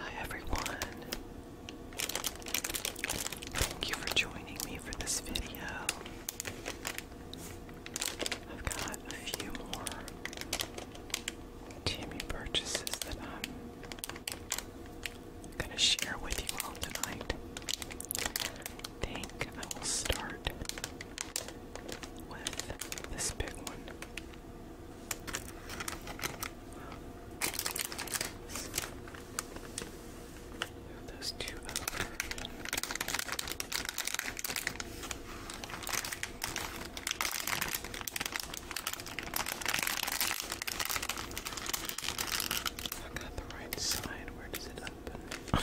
Hi everyone. Thank you for joining me for this video. I've got a few more Timmy purchases that I'm going to share with you all tonight. I think I will start with this big one. Move those two I got the right side. Where does it open? I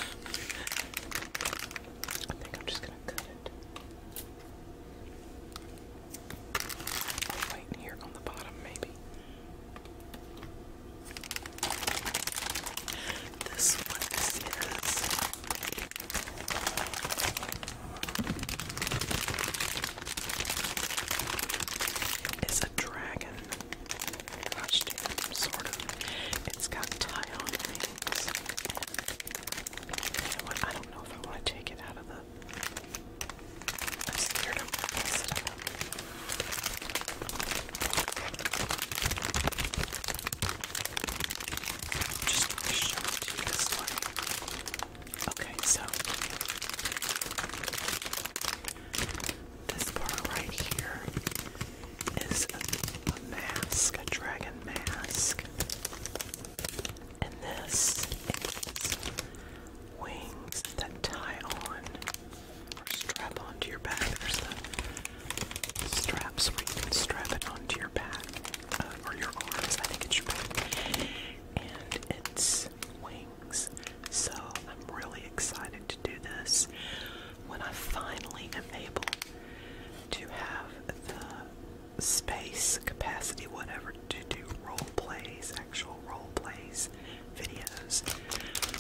think I'm just gonna cut it. Wait here on the bottom, maybe. This one is is a dragon costume, sort of. It's got tie-on things. I don't know if I want to take it out of the I'm scared i Just show you this way. Okay, so this part right here is a mask, a dragon mask. And this is wings that tie on or strap onto your back. There's straps where you can strap it onto your back uh, or your arms. I think it's your back. And it's wings. So I'm really excited to do this when I finally am able to have the space, capacity, whatever, to do role plays, actual role plays, videos.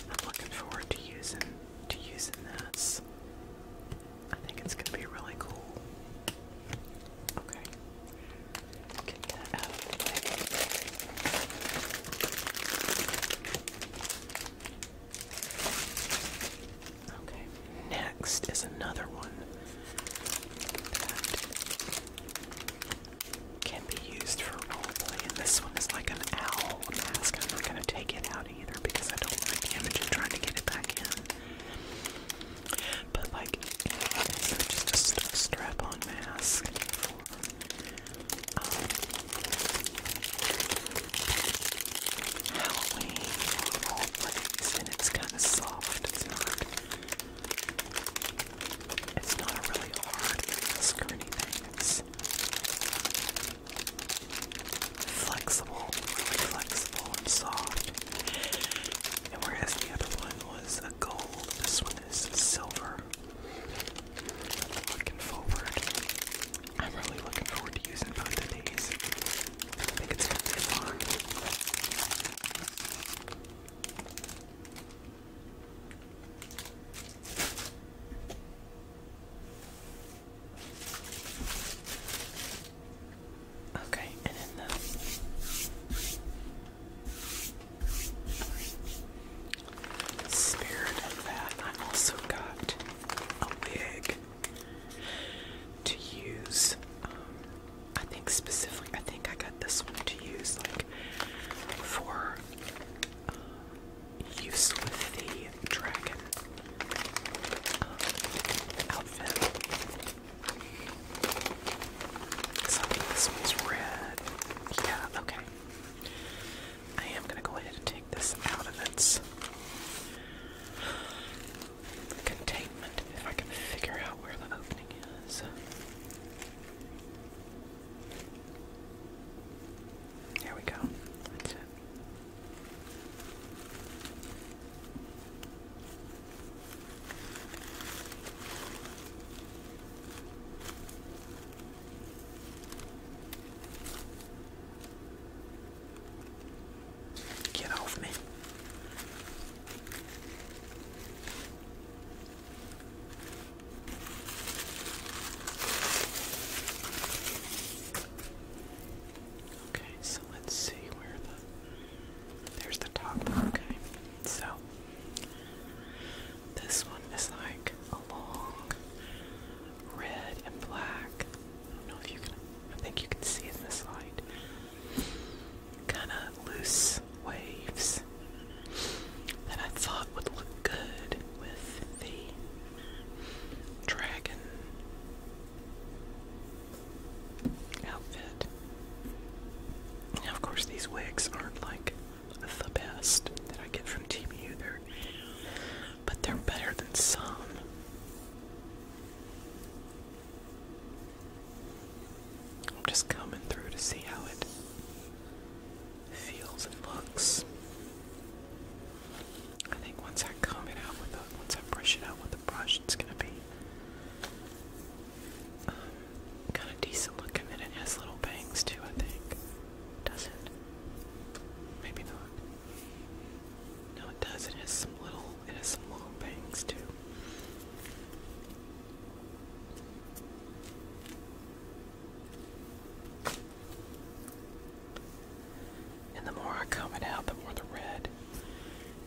I'm looking forward to using to using this. I think it's gonna be really cool. Okay. Get that out Okay, next is another one can be used for roleplay. And this one is like an owl mask. I'm not going to take it out either because I don't like the image of trying to get it back in. But like, just a strap strap-on mask for, um, Halloween roleplays, and it's kind of soft. It's not a really hard mask or anything. It's flexible, really flexible and soft. And whereas the other one was a gold, this one is silver. looking forward. I'm really looking forward to using both I think it's gonna be fun. Okay, and then the spirit of that, I also got a wig to use um, I think specifically, I think I got this one to use like for uh, use with the dragon um, outfit. I think this one's red. Yeah, okay. I am gonna go ahead and take this out of its containment if I can figure out where the opening is. There we go. Get off me. Okay, so let's see where the there's the top. Okay, so this one is like a long red and black. I don't know if you can. I think you can see in this light kind of loose waves that I thought would look good with the dragon outfit. Now, of course, these wigs aren't like the best that I get from TBU, they but they're better than some. I'm just coming through to see how it feels and looks. I think once I comb it out with the, once I brush it out with the brush, it's gonna be um, kind of decent looking, and it has little bangs too. I think, does it? Maybe not. No, it does. It has some little, it has some bangs too. And the more I comb it out, the more the red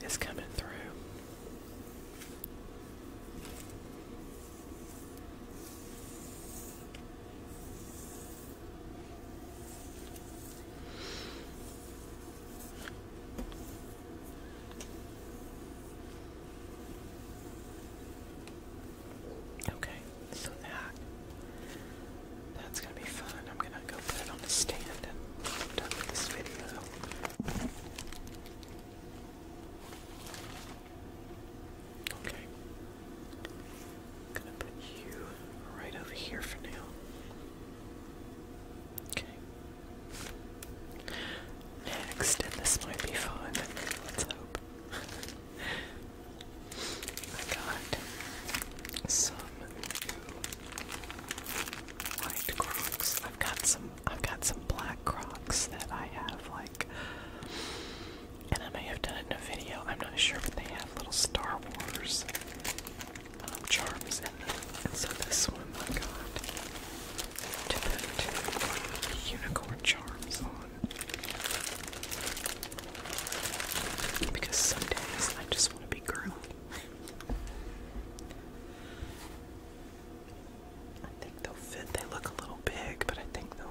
is coming through. Okay, so that that's gonna be fun. I'm gonna go put it on the stand and I'm done with this video. Okay. gonna put you right over here for now. Okay. Next, and this might be fun. Let's hope. I got some new Crocs. I've got some. I've got some black Crocs that I have like, and I may have done it in a video. I'm not sure, but they have little Star Wars um, charms in them. And so this one I got to put unicorn charms on. Because some I just want to be girly. I think they'll fit. They look a little big, but I think they'll,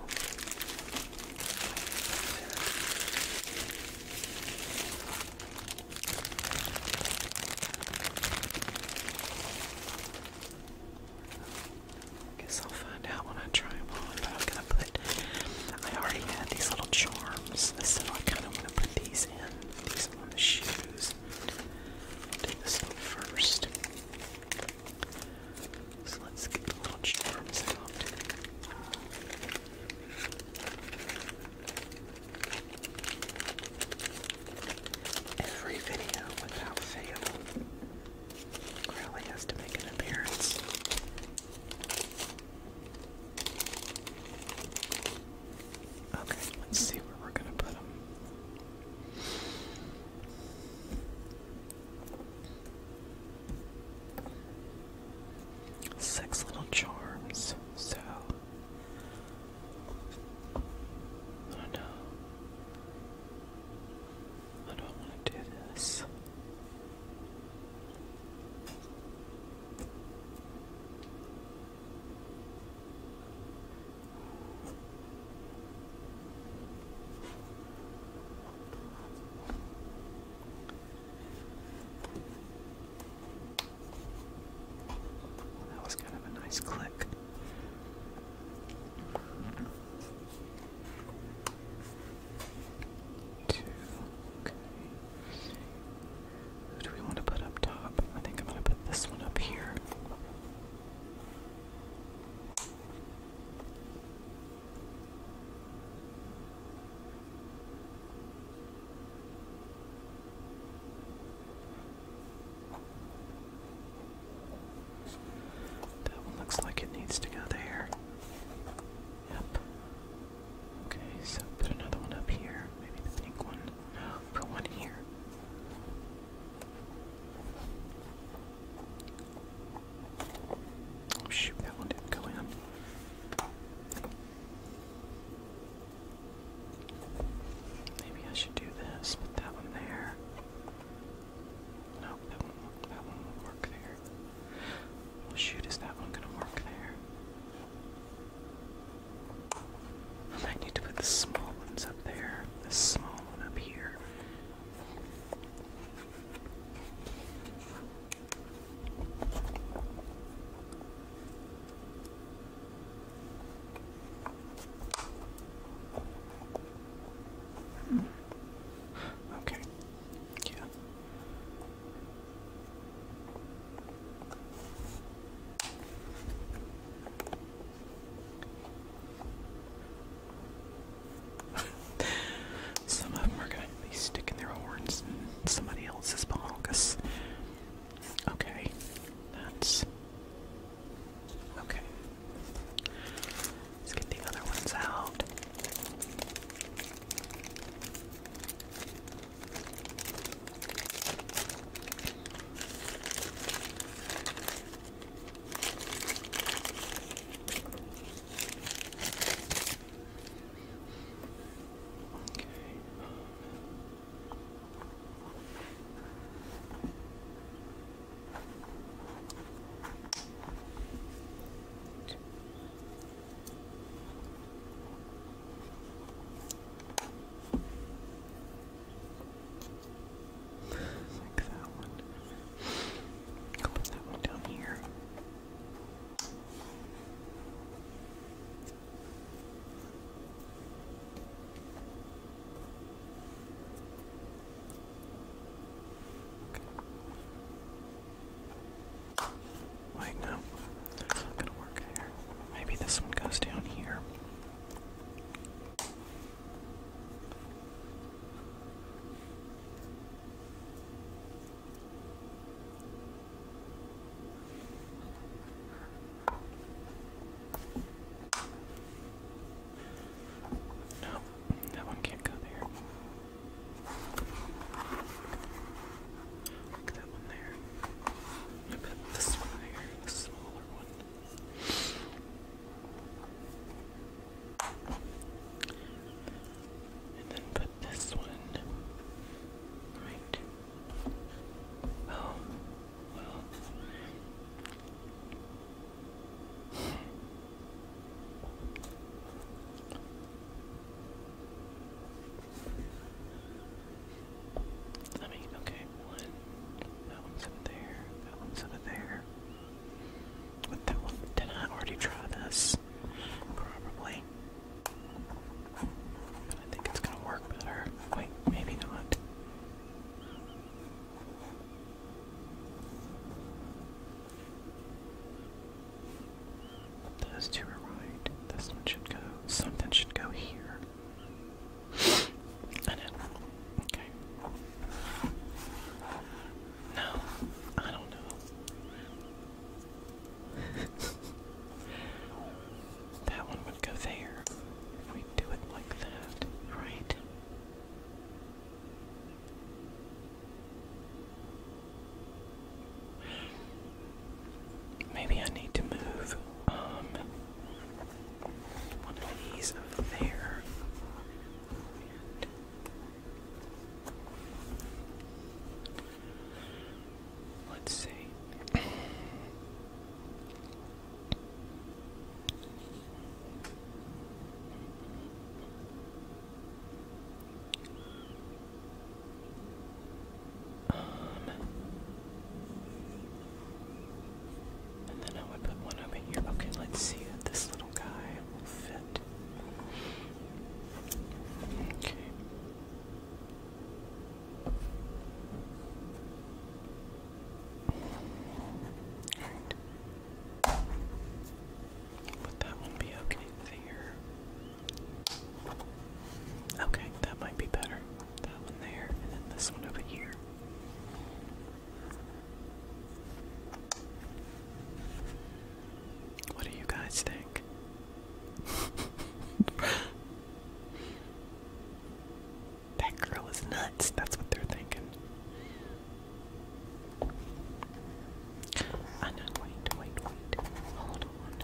I guess I'll find out when I try them on, but I'm gonna put, I already had these little charms, so I kinda wanna put these in, these on the shoes. I'll do this one first. So let's get the little charms out every video without fail. Crowley has to make an appearance. Okay, let's see where we're gonna put them. Six little charms, so Oh no. I don't want to do this. That was kind of a nice click. Two. Okay. Who do we want to put up top? I think I'm going to put this one up here. That one looks like it needs to go there. Yep. Okay, so put another one up here. Maybe the pink one. put one here. Oh, shoot, that one didn't go in. Maybe I should do this, put that one there. No, that won't That one won't work there. shoot, is that one gonna work there? I need to put the small ones up there. The small one up here. Okay. Yeah. some of them are going to be sticking their horns in somebody else's ball, Okay. That's Okay. Let's get the other ones out. Okay like that one. I'll put that one down here. Okay. Wait, That's not gonna work here. Maybe this one goes down here. No, that one can't come here. Look that one there. I bet this the smaller one. And then put this one right. Oh, well. I mean, okay, one. That one's up there. That one's over there. With that one, did I already try this? Probably. But I think it's gonna work better. Wait, maybe not. Those two are right. This one should go. Something should go here. I know. Okay. No, I don't know. that one would go there. If we do it like that, right? Maybe I need to move um, one of these over there. Let's see. Um, and then I would put one over here. Okay, let's see if this little guy will fit. Okay. Would that one be okay there? Okay, that might be better. That one there, and then this one over here. What do you guys think? that girl is nuts. That's what they're thinking. I know, wait, wait, wait. Hold on.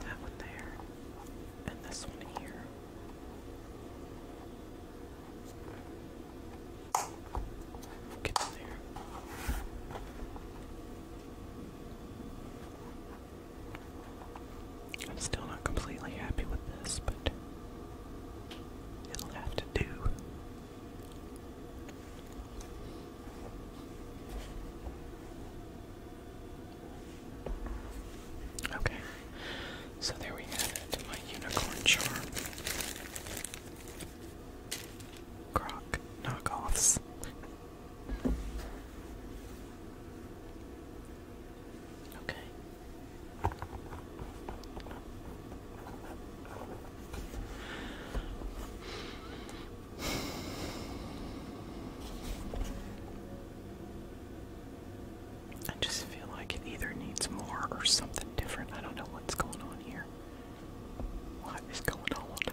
That one there, and this one here. I'm still not completely happy with this, but it'll have to do. Okay, so there we have it, my unicorn charm. Croc knockoffs. okay. I just feel like it either needs more or something different. I don't know what's going on here. What is going on?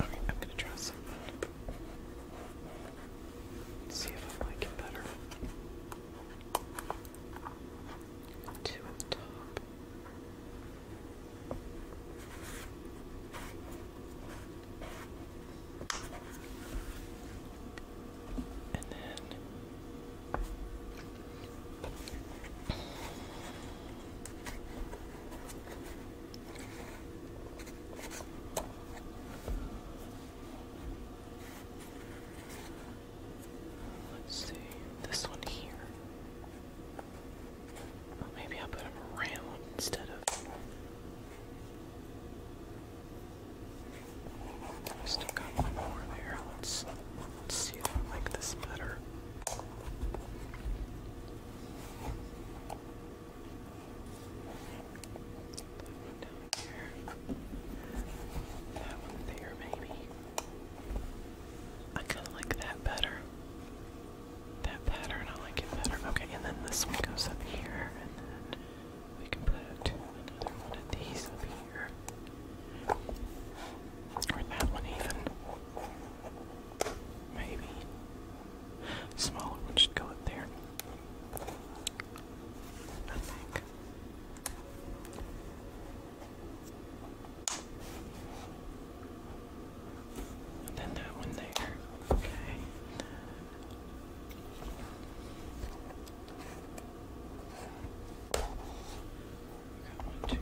Okay, I'm gonna try something. See if I like it better. Two on top. And then Let's see this one here. maybe I'll put him around instead of I still got more there. Let's see if I like this better. down here. That one there maybe. I kinda like that better. That pattern, I like it better. Okay, and then this one goes up here and then we can put another one of these up here. Or that one even. Maybe. Smaller one should go up there. I think. then that one there. Okay. Got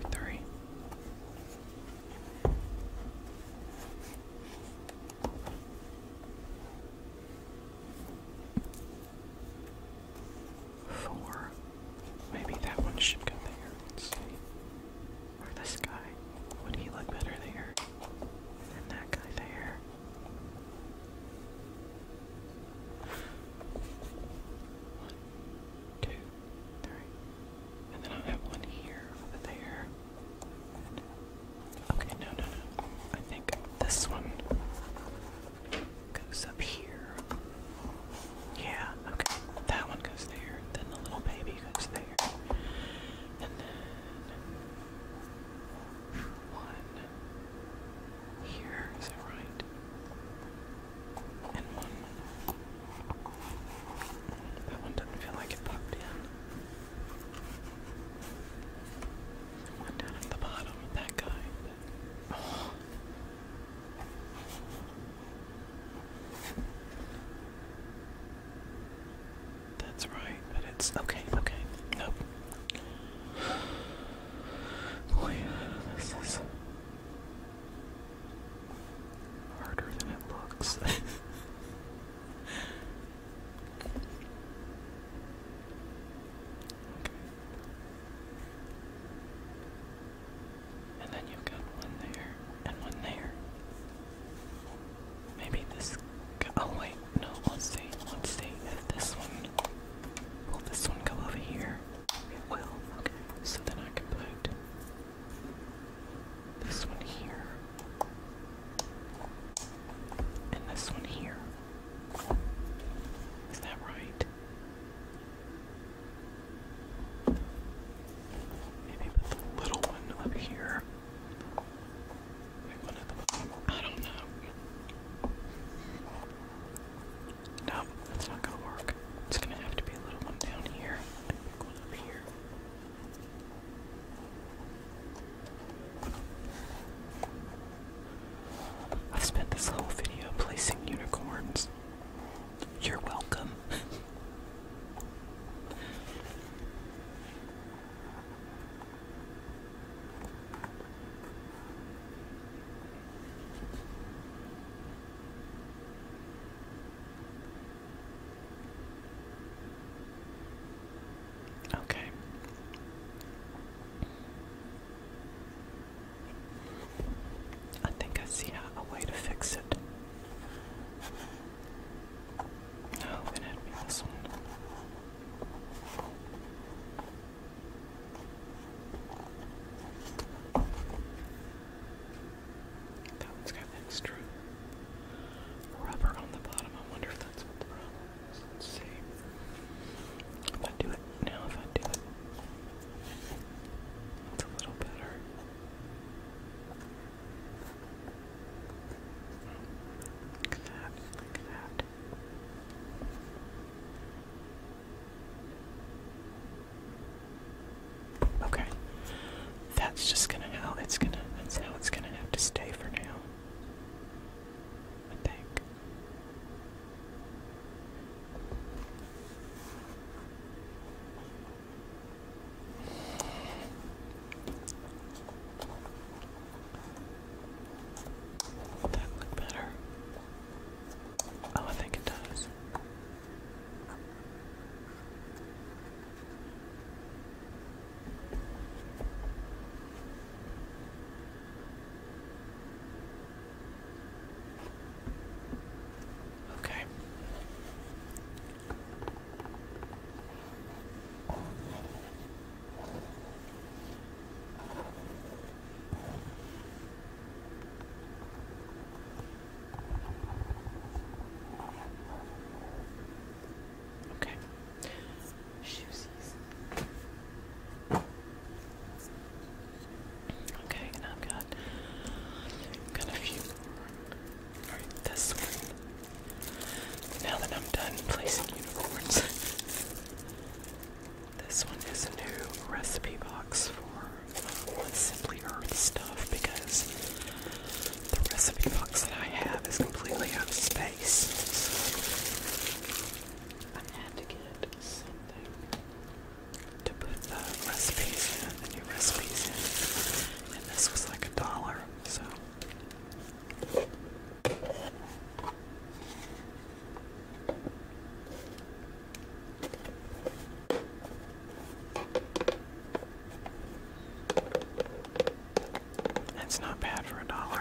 Maybe that one should go there. Or this guy. Would he look better there? And that guy there. One, two, three. And then i have one here over there. okay, no, no, no. I think this one goes up here. Yeah, okay. That one goes there. Then the little baby goes there. then one, here, is that right? And one. That one doesn't feel like it popped in. one down at the bottom, that guy. That's right, okay, okay. Nope. Boy, this is harder than it looks. And then you've got one there and one there. Maybe this. Oh wait, no, let's see, let's see this one, will this one go over here? It will, okay, so then I can put this one here, and this one here. Is that right? Maybe the little one up here. I don't know. No, that's not gonna work. It's gonna have to be a little one down here and up here. I've spent this whole video placing unicorns. You're welcome. Okay. I think I see a, way to fix it. Oh, it had me this one. That one's got extra rubber on the bottom. I wonder if that's what the problem is. Let's see. If I do it now, if I do it, it's a little better. Look at that. Look at that. Okay. That's just gonna how it's gonna that's how it's gonna have to stay for now. I think. That look better. Oh, I think it does. Okay. Okay. Shoesies. Okay, and I've got got a few more. this one. Now that I'm done placing unicorns. This one is a new recipe box for Simply Earth stuff because the recipe box that I have is completely out of space. So I had to get something to put the recipes in, the new recipes in, and this was like a dollar, so. That's not bad for a dollar.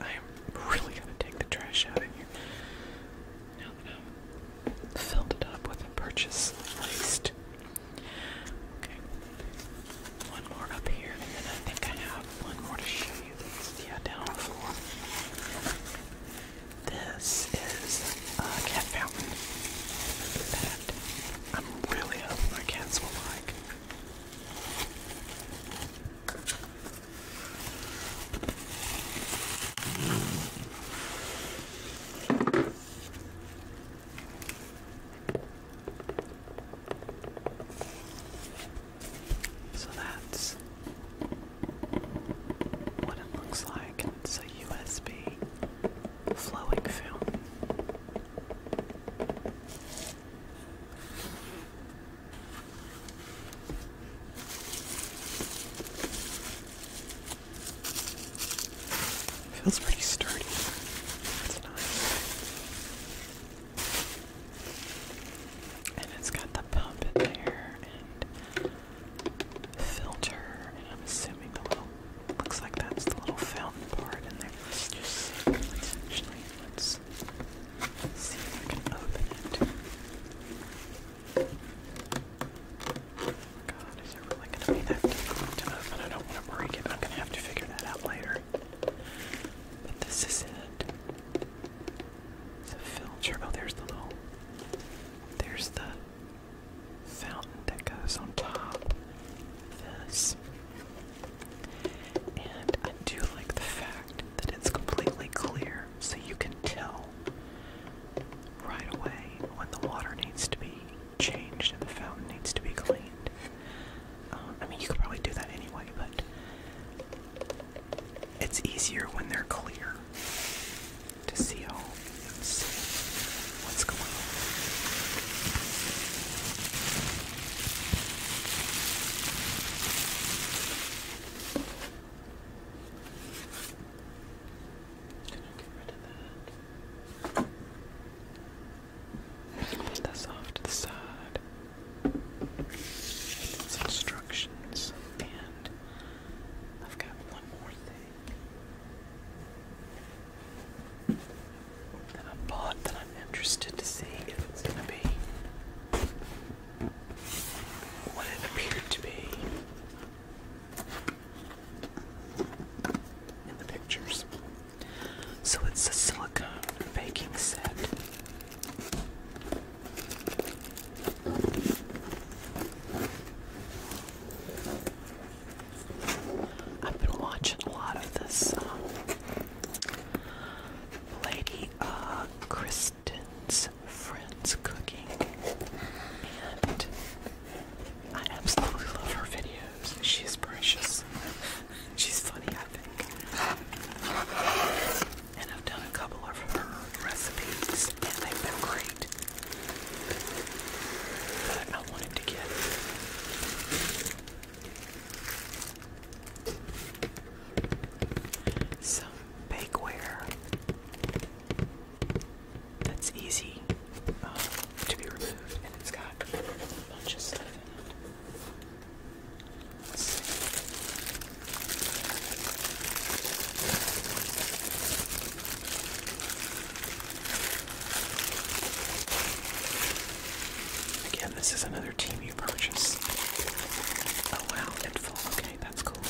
I am really gonna take the trash out of here. Now that I've filled it up with a purchase list. Okay. One more up here, and then I think I have one more to show you that's yeah, down floor. This is a cat fountain I'm really hoping my cats will like. So that's what it looks like. It's a USB flowing film. Feels pretty sturdy. And it's got the pump in there filter, and I'm assuming the little looks like that's the little fountain part in there. Let's just see. Let's actually let's see if I can open it. God, is it really gonna be that difficult to open? I don't want to break it. I'm gonna have to figure that out later. But this is it. filter. Oh, there's the little. There's the fountain that goes on top of this. And I do like the fact that it's completely clear, so you can tell right away when the water needs to be changed and the fountain needs to be cleaned. Um, I mean, you could probably do that anyway, but it's easier when they're clear to see home see what's going on. Can I get rid of that? Put this side. instructions, and I've got one more thing that I that I'm interested to see if it's going to be what it appeared to be in the pictures. So it's a silicone baking set. I've been watching a lot of this um, lady, uh, Kristen's friends cooking, and I absolutely love her videos. She's precious. She's funny, I think. And I've done a couple of her recipes, and they've been great. I wanted to get. Some bakeware that's easy uh, to be removed, and it's got a bunch of stuff in it. Again, this is another team you purchase. Oh wow, Pitfall. Okay, that's cool.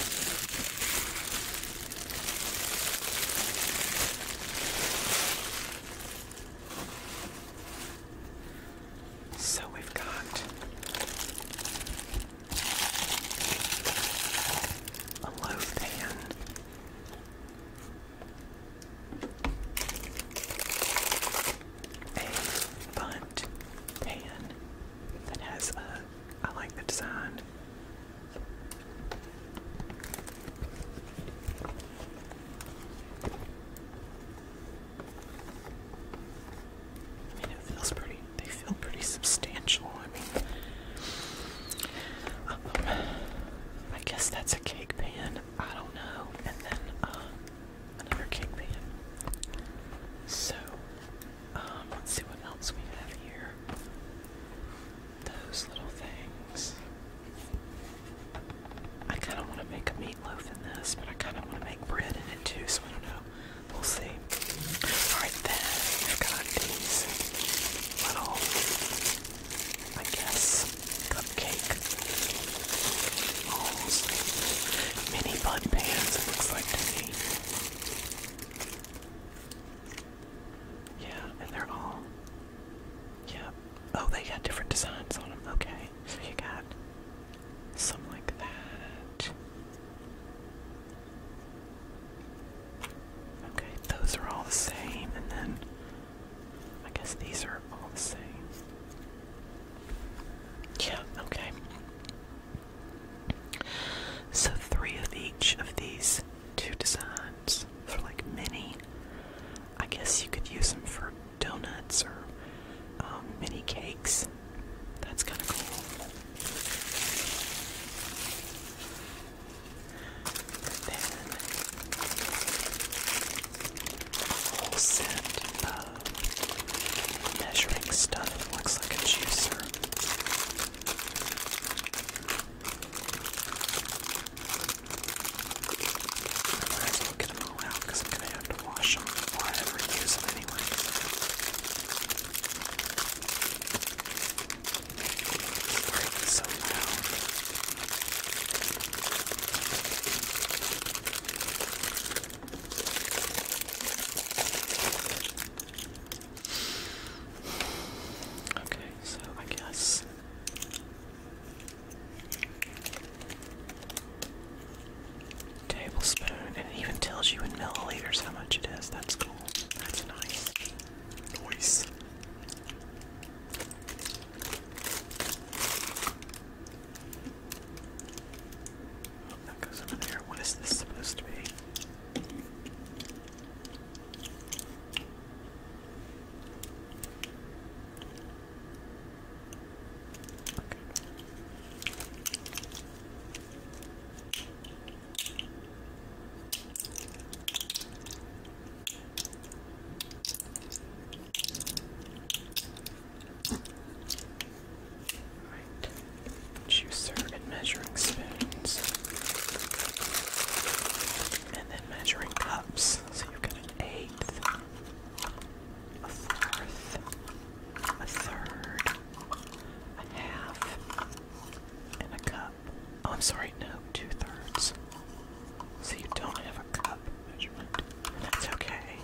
So we've got a loaf pan, a bunt pan that has a. I like the design. I mean, it feels pretty. They feel pretty substantial. Um, I guess that's a cake pan. I don't know. And then uh, another cake pan. So, um, let's see what else we have here. Those little things. I kind of want to make a meatloaf in this, but I kind of want to make bread in it too, so I don't know. We'll see. Alright, then we've got these little I guess. Cupcake. Almost. Mini bud pans, it looks like to me. Yeah, and they're all. Yeah. Oh, they got different designs on them. Okay. So you got some like that. Okay, those are all the same, and then I guess these are all the same. Yeah, okay. So three of each of these two designs for like mini. I guess you could use them for donuts or um, mini cakes. That's kind of cool. Then whole set of measuring stuff. It looks like a juicer. I might as well get them all out because I'm going to have to wash them before ever use them anyway. Okay, so I guess. Tablespoon, and it even tells you in milliliters how much it is. That's cool. That's nice. Nice that goes over there. What is this supposed to be? Juicer and measuring spoons. And then measuring cups. So you've got an eighth, a fourth, a third, a half, and a cup. Oh, I'm sorry, no, two thirds. So you don't have a cup measurement. That's okay,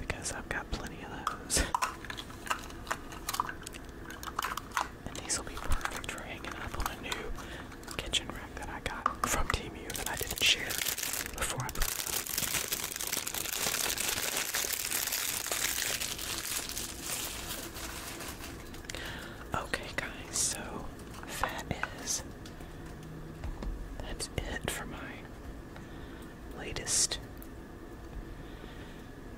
because I've got plenty of those. and these will be perfect for hanging up on a new kitchen rack that I got from Team U that I didn't share before I put it up. Okay, guys, so that is. That's it for my latest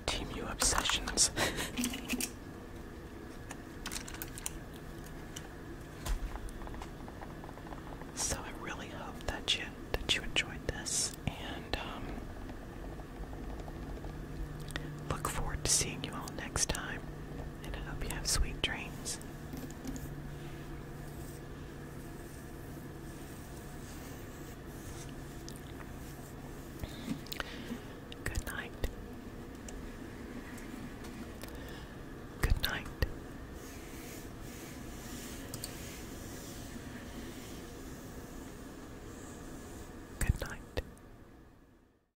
Team U obsessions. so I really hope that you that you enjoyed this and um look forward to seeing you all next time and I hope you have sweet dreams. Good night. Good night. Good night.